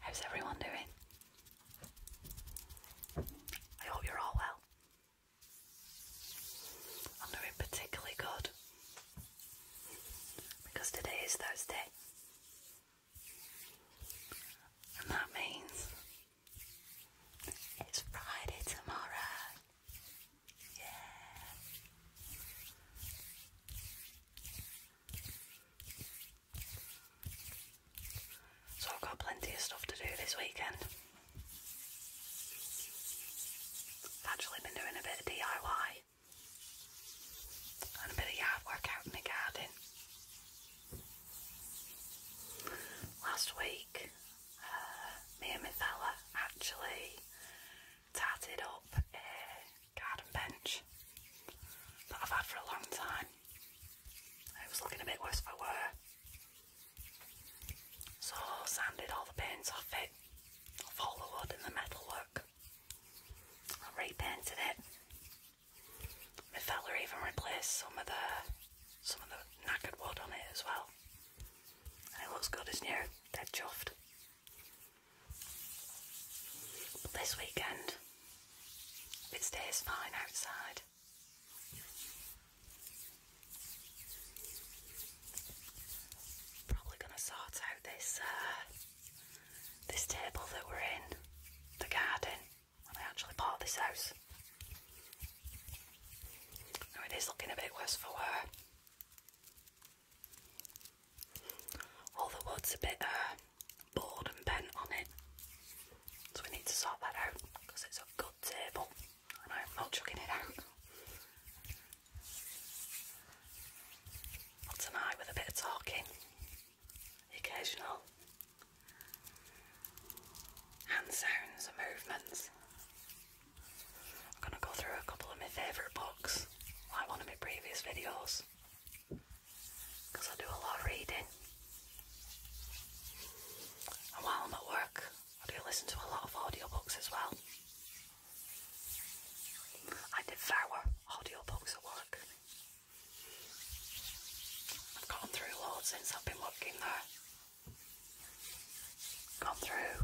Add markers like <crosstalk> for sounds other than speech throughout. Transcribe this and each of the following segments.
How's everyone doing? I hope you're all well. I'm doing particularly good because today is Thursday, and that means it's Friday tomorrow. Yeah. So I've got plenty of stuff to do this weekend. I've actually been doing a bit of DIY and a bit of yard work out in the garden. Last week, uh, me and my fella actually tatted up garden bench that I've had for a long time. It was looking a bit worse for wear. So I sanded all the paints off it, off all the wood and the metalwork. I repainted it. I My fella even replaced some of the some of the knackered wood on it as well. And it looks good as new, dead chuffed this weekend, it stays fine outside. Probably gonna sort out this uh, this table that we're in, the garden. When I actually bought this house, it is looking a bit worse for wear. All the wood's a bit uh, bored and bent on it, so we need to sort that out because it's a good table and I'm not chucking it out. tonight with a bit of talking, occasional hand sounds and movements. I'm going to go through a couple of my favourite books, like one of my previous videos because I do a lot of reading. And while I'm at work, I do listen to a lot of audiobooks as well. I devour audiobooks at work. I've gone through loads since I've been working there. Gone through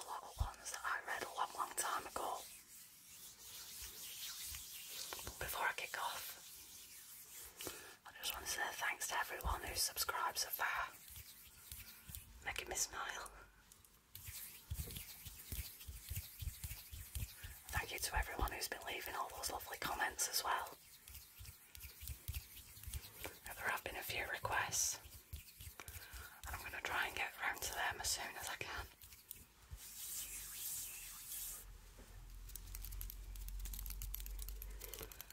a lot of ones that I read a long, long time ago before I kick off, I just want to say thanks to everyone who's subscribed so far, making me smile. Thank you to everyone who's been leaving all those lovely comments as well. there have been a few requests, and I'm going to try and get round to them as soon as I can.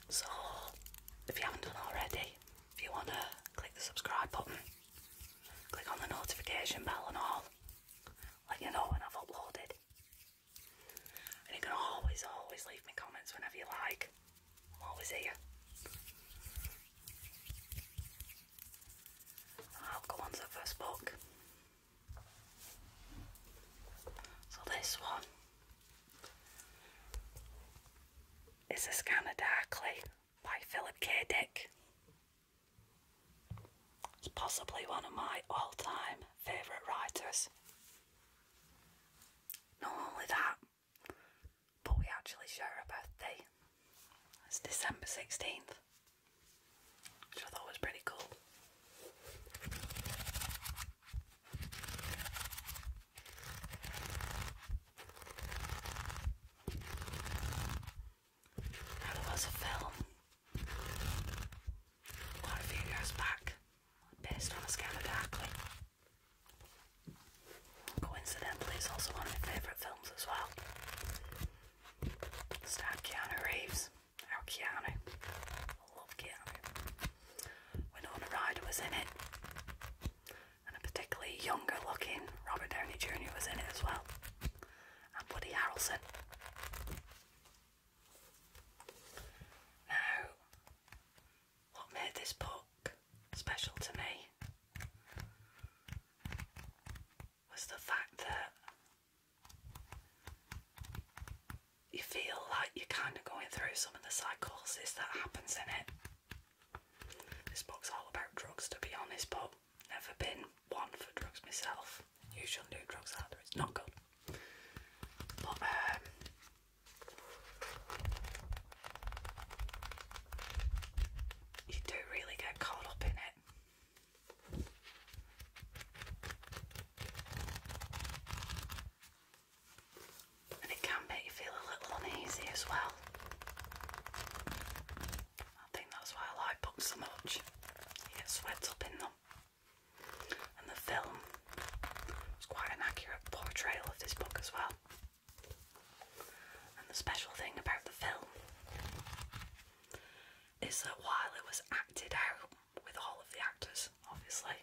So, if you haven't done already, if you want to click the subscribe button, click on the notification bell and all, let you know when I've uploaded. And you can always, always leave me comments whenever you like. I'm always here. I'll go on to the first book. So this one is A Scanner Darkly by Philip K. Dick. It's possibly one of my all-time favourite writers. Not only that, but we actually share a birthday. It's December 16th, which I thought was pretty cool. there was a film quite a few years back based on a scam of Darkly. Coincidentally, it's also one of my favourite films as well. Starred Keanu Reeves. Our Keanu. love Keanu. Winona Ryder was in it. And a particularly younger looking Robert Downey Jr. was in it as well. And Woody Harrelson. Now, what made this book special to me was the fact that you feel like you're kind of going through some of the psychosis that happens in it. This book's all about drugs, to be honest, but never been one for drugs myself. You shouldn't do drugs either, it's not good. Um, you do really get caught up in it. And it can make you feel a little uneasy as well. I think that's why I like books so much. You get swept up in them. And the film is quite an accurate portrayal of this book as well. And the special thing about the film is that while it was acted out with all of the actors, obviously,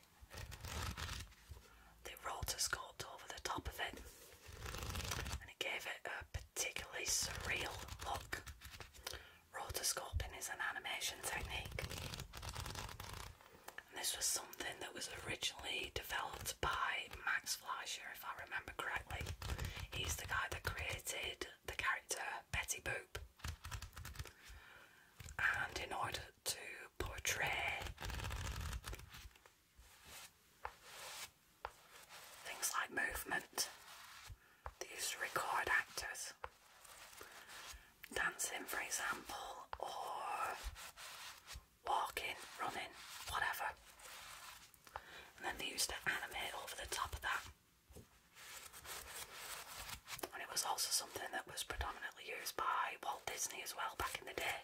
the rotor sculpted over the top of it and it gave it a particularly surreal look. Rotor is an animation technique. And this was something that was originally developed by Max Fleischer, if I remember correctly. He's the guy that created the character Betty Boop. And in order to portray things like movement, these record actors dancing, for example, or walking, running, whatever. And then they used to animate over the top of that. And it was also something that was predominantly used by Walt Disney as well back in the day.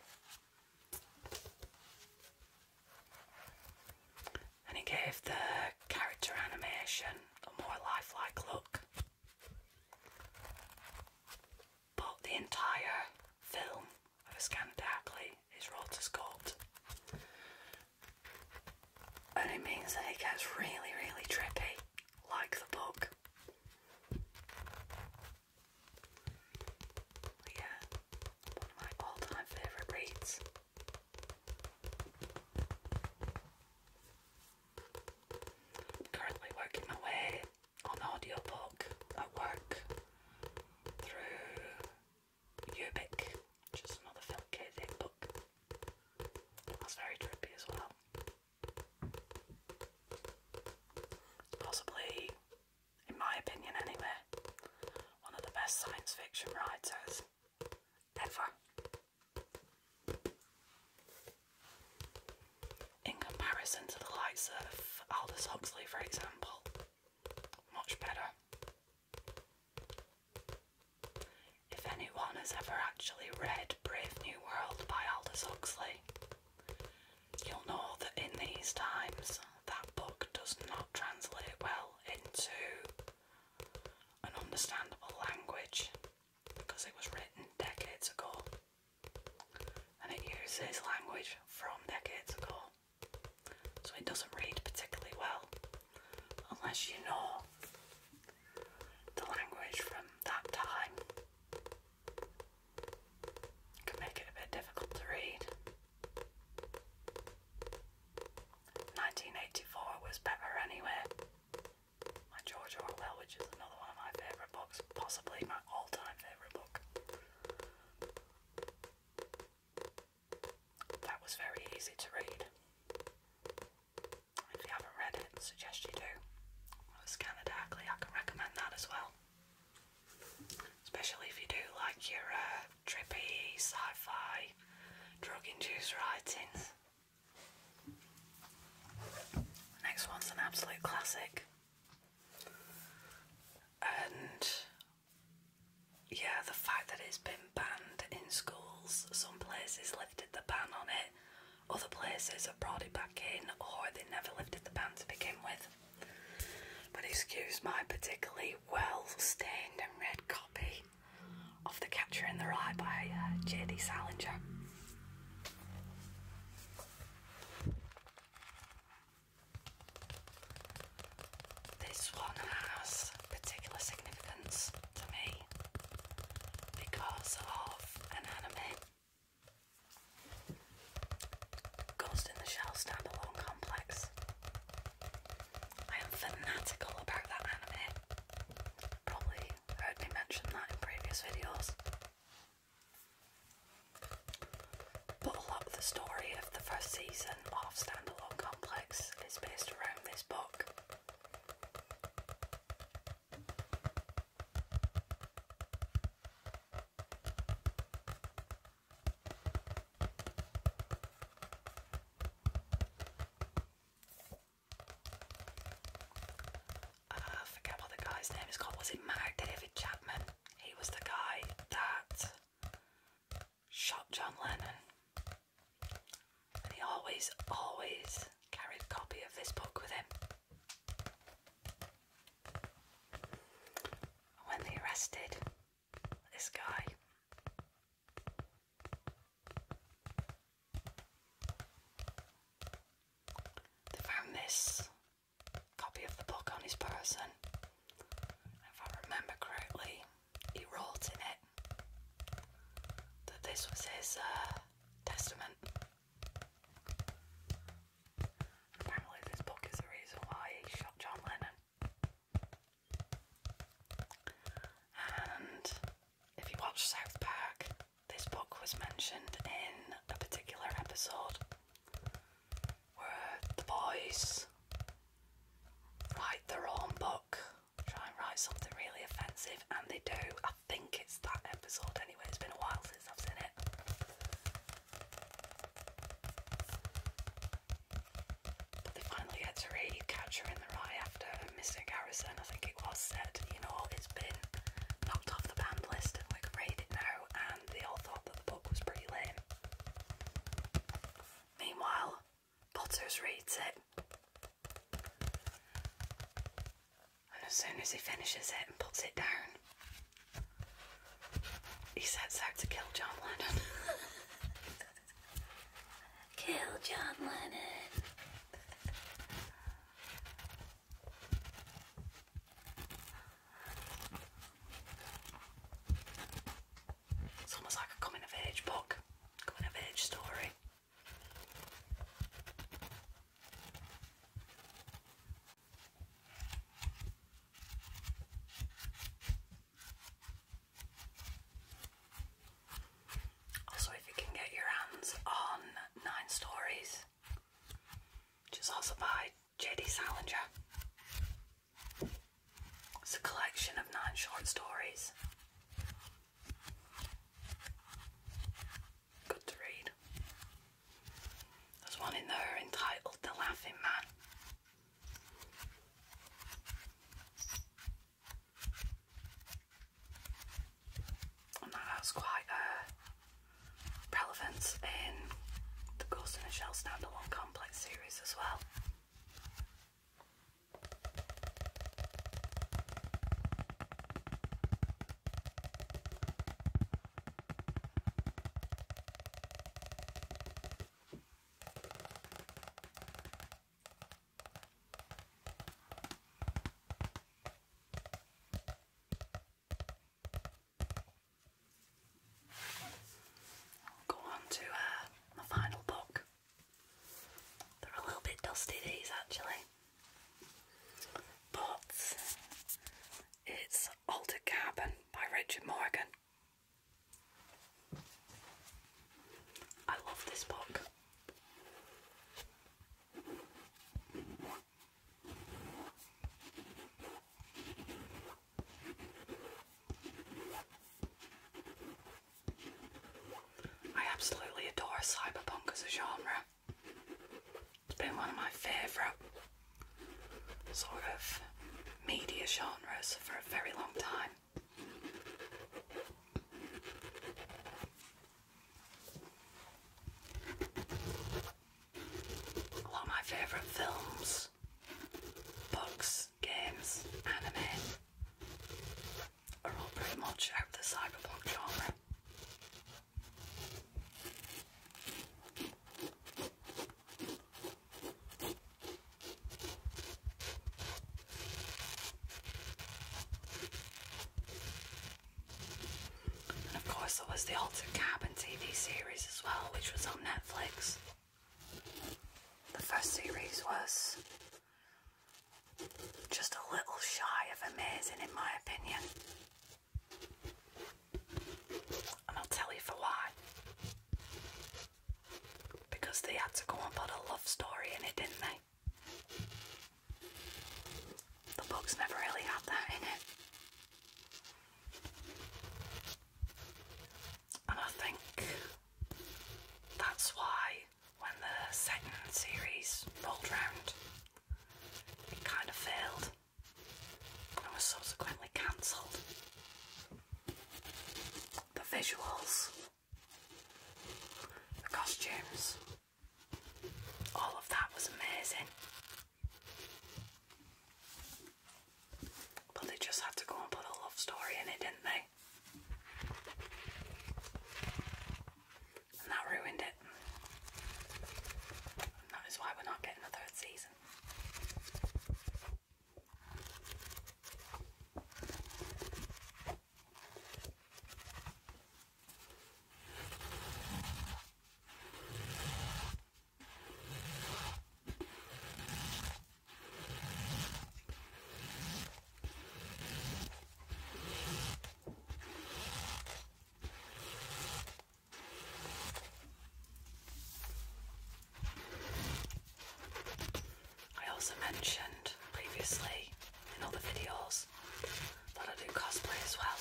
And he gave the character animation a more lifelike look but the entire film of a Scandacly is rotoscoped. And means that it gets really, really trippy, like the book. Yeah, my all time favourite reads. Currently working my way on audiobook at work through Ubik, which is another Phil K. Dick book. That's very trippy as well. Possibly, in my opinion anyway, one of the best science fiction writers ever. In comparison to the likes of Aldous Huxley, for example, much better. If anyone has ever actually read Brave New World by Aldous Huxley, you'll know that in these times that book does not translate well into an understandable language because it was written decades ago and it uses language from decades ago, so it doesn't read particularly well unless you know the language from that time. can make it a bit difficult to read. 1984 was better anyway. My George Orwell, which is another one of my favourite books, possibly my all time favourite book. That was very easy to read. If you haven't read it, suggest you do. Well, it's kind of darkly, I can recommend that as well. Especially if you do like your uh, trippy, sci fi, drug induced writings. Next one's an absolute classic and yeah, the fact that it's been banned in schools, some places lifted the ban on it, other places have brought it back in, or they never lifted the ban to begin with. But excuse my particularly well stained and red copy of The Catcher in the Rye by uh, J.D. Salinger. This one has particular significance to me because of an anime. Ghost in the Shell standalone complex. I am fanatical about that anime. Probably heard me mention that in previous videos a lot of the story of the first season of Standalone Complex is based around this book uh, forget what the guy's name is called. Was it Mark David Chapman? He was the guy that shot John Lennon. And he always, always carried a copy of this book with him. When they arrested this guy, they found this copy of the book on his person. If I remember correctly, he wrote in it that this was his uh, testament. apparently, this book is the reason why he shot John Lennon. And if you watch South Park, this book was mentioned in a particular episode where the boys write their own book, try and write something really offensive, and they do. I think it's that episode anyway, it's been a while since I've seen it. But finally get to read Catcher in the Rye after Mr. Garrison, I think it was, said, you know, it's been knocked off the band list we can read it now, they all thought that the book was pretty lame. Meanwhile, Potters reads it. And as soon as he finishes it and puts it down, he sets out to kill John Lennon. <laughs> kill John Lennon! It's almost like a coming of age book, coming of age story. Also, if you can get your hands on Nine Stories, which is also by J.D. Salinger. It's a collection of nine short stories. Good to read. There's one in there entitled The Laughing Man and that has quite a relevance in the Ghost in the Shell standalone complex series as well go on to uh, my final book. They're a little bit dusty these actually, but it's Altered Cabin* by Richard Morgan. I love this book. I absolutely adore cyberpunk as a genre. It's been one of my favourite sort of media genres for a very long time. A lot of my favourite films, books, games, anime are all pretty much out of the cyberpunk genre. And of course, there was the Altered Cabin TV series as well, which was on Netflix. The first series was just a little shy of amazing, in my opinion. And I'll tell you for why. Because they had to go and put a love story in it, didn't they? The book's never really had that in it. And I think that's why when the second series rolled round, it kind of failed and was subsequently cancelled. The visuals, the costumes, all of that was amazing. But they just had to go and put a love story in it, didn't they? And that ruined it. that is why we're not getting a third season. I also mentioned previously in all the videos because I do cosplay as well.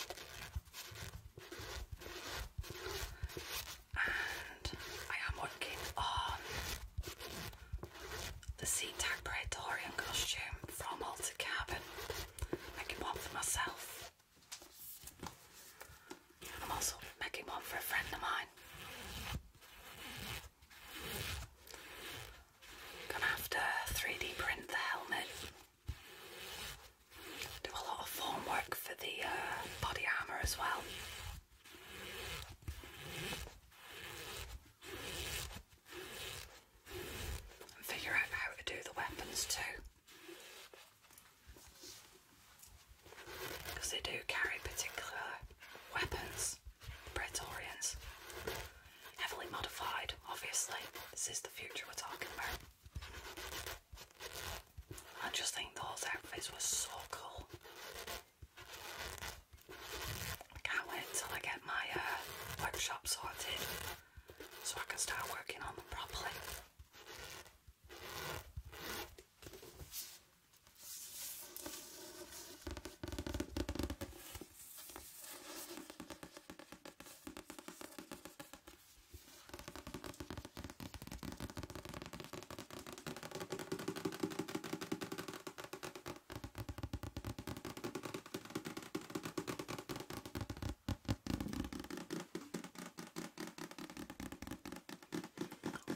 And I am working on the Sea Tag Praetorian costume from Altered Cabin. Making one for myself. I'm also making one for a friend of mine. Gonna have to 3D print the helmet. Do a lot of form work for the uh, body armour as well. figure out how to do the weapons too. Because they do carry particular weapons, the Praetorians heavily modified, obviously. This is the future we're talking about. I just think those outfits were so cool. can't wait till I get my uh, sorted so I can start working on them properly.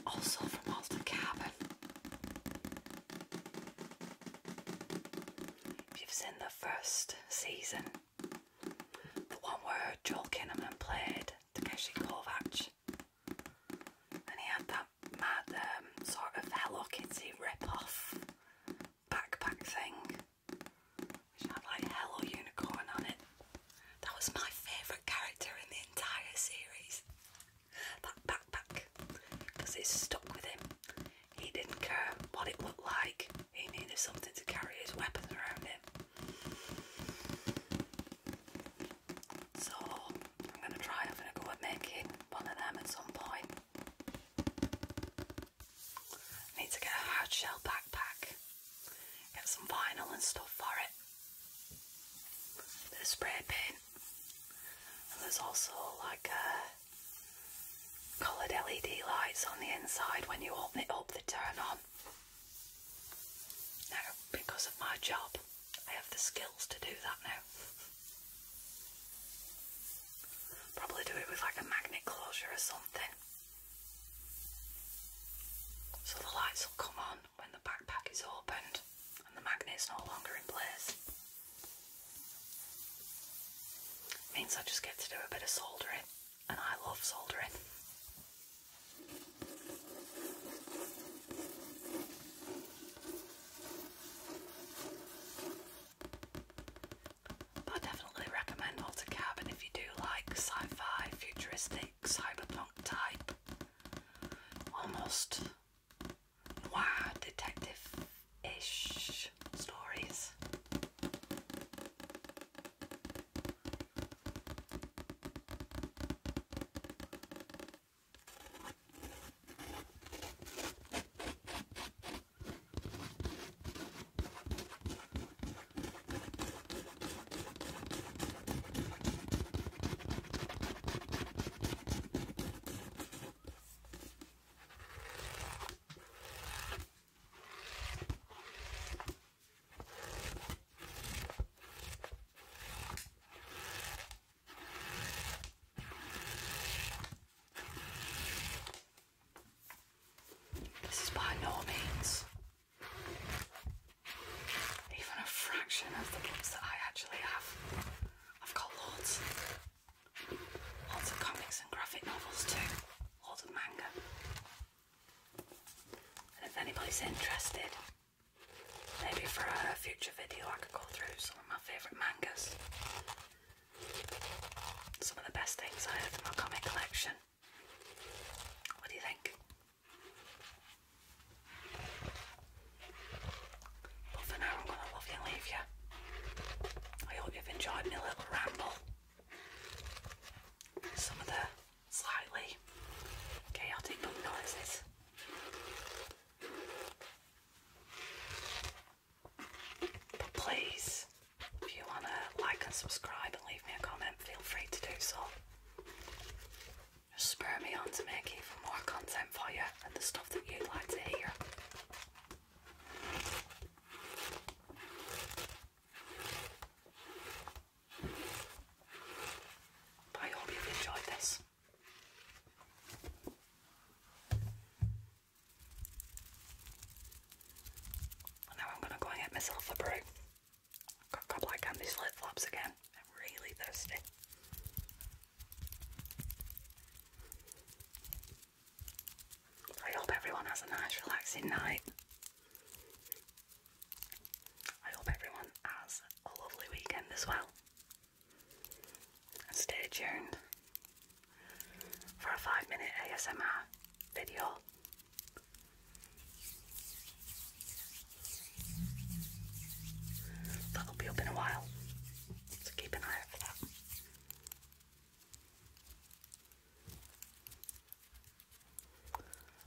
Also from off the cabin you've seen the first season, the one where Joel Kinnaman played Takeshi Kovacs, and he had that mad um, sort of Hello Kitty rip-off backpack thing, which had like Hello Unicorn on it. That was my favourite character in the entire series. That backpack because it stuck with him. He didn't care what it looked like, he needed something to carry his weapons around him. So, I'm going to try having a go at making one of them at some point. I need to get a hard shell backpack, get some vinyl and stuff for it, a spray paint, and there's also like a coloured LED lights on the inside when you open it up, they turn on. Now, because of my job, I have the skills to do that now. Probably do it with like a magnet closure or something. So the lights will come on when the backpack is opened and the magnet's no longer in place. Means I just get to do a bit of soldering, and I love soldering. I definitely recommend AutoCAD, if you do like sci-fi, futuristic, cyberpunk type, almost noir detective ish stories. This is by no means even a fraction of the books that I actually have. I've got loads. Lots of comics and graphic novels too. Lots of manga. And if anybody's interested, maybe for a future video I could go through some of my favourite mangas. Some of the best things I have in my comic collection. What do you think? But for now, I'm going to love you and leave you. I hope you've enjoyed my little ramble. Some of the slightly chaotic noises. But please, if you want to like and subscribe and leave me a comment, feel free to do so. Just spur me on to make more content and the stuff that you like to hear. I hope you enjoyed this. now I'm going to go and get myself a brew. got a couple of candy slit flaps again. really thirsty. I hope everyone has a nice, relaxing night. I hope everyone has a lovely weekend as well. And stay tuned for a five minute ASMR video. That'll be up in a while. So keep an eye out for that.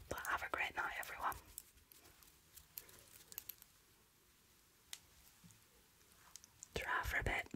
But have a great night, everyone. Try for a bit.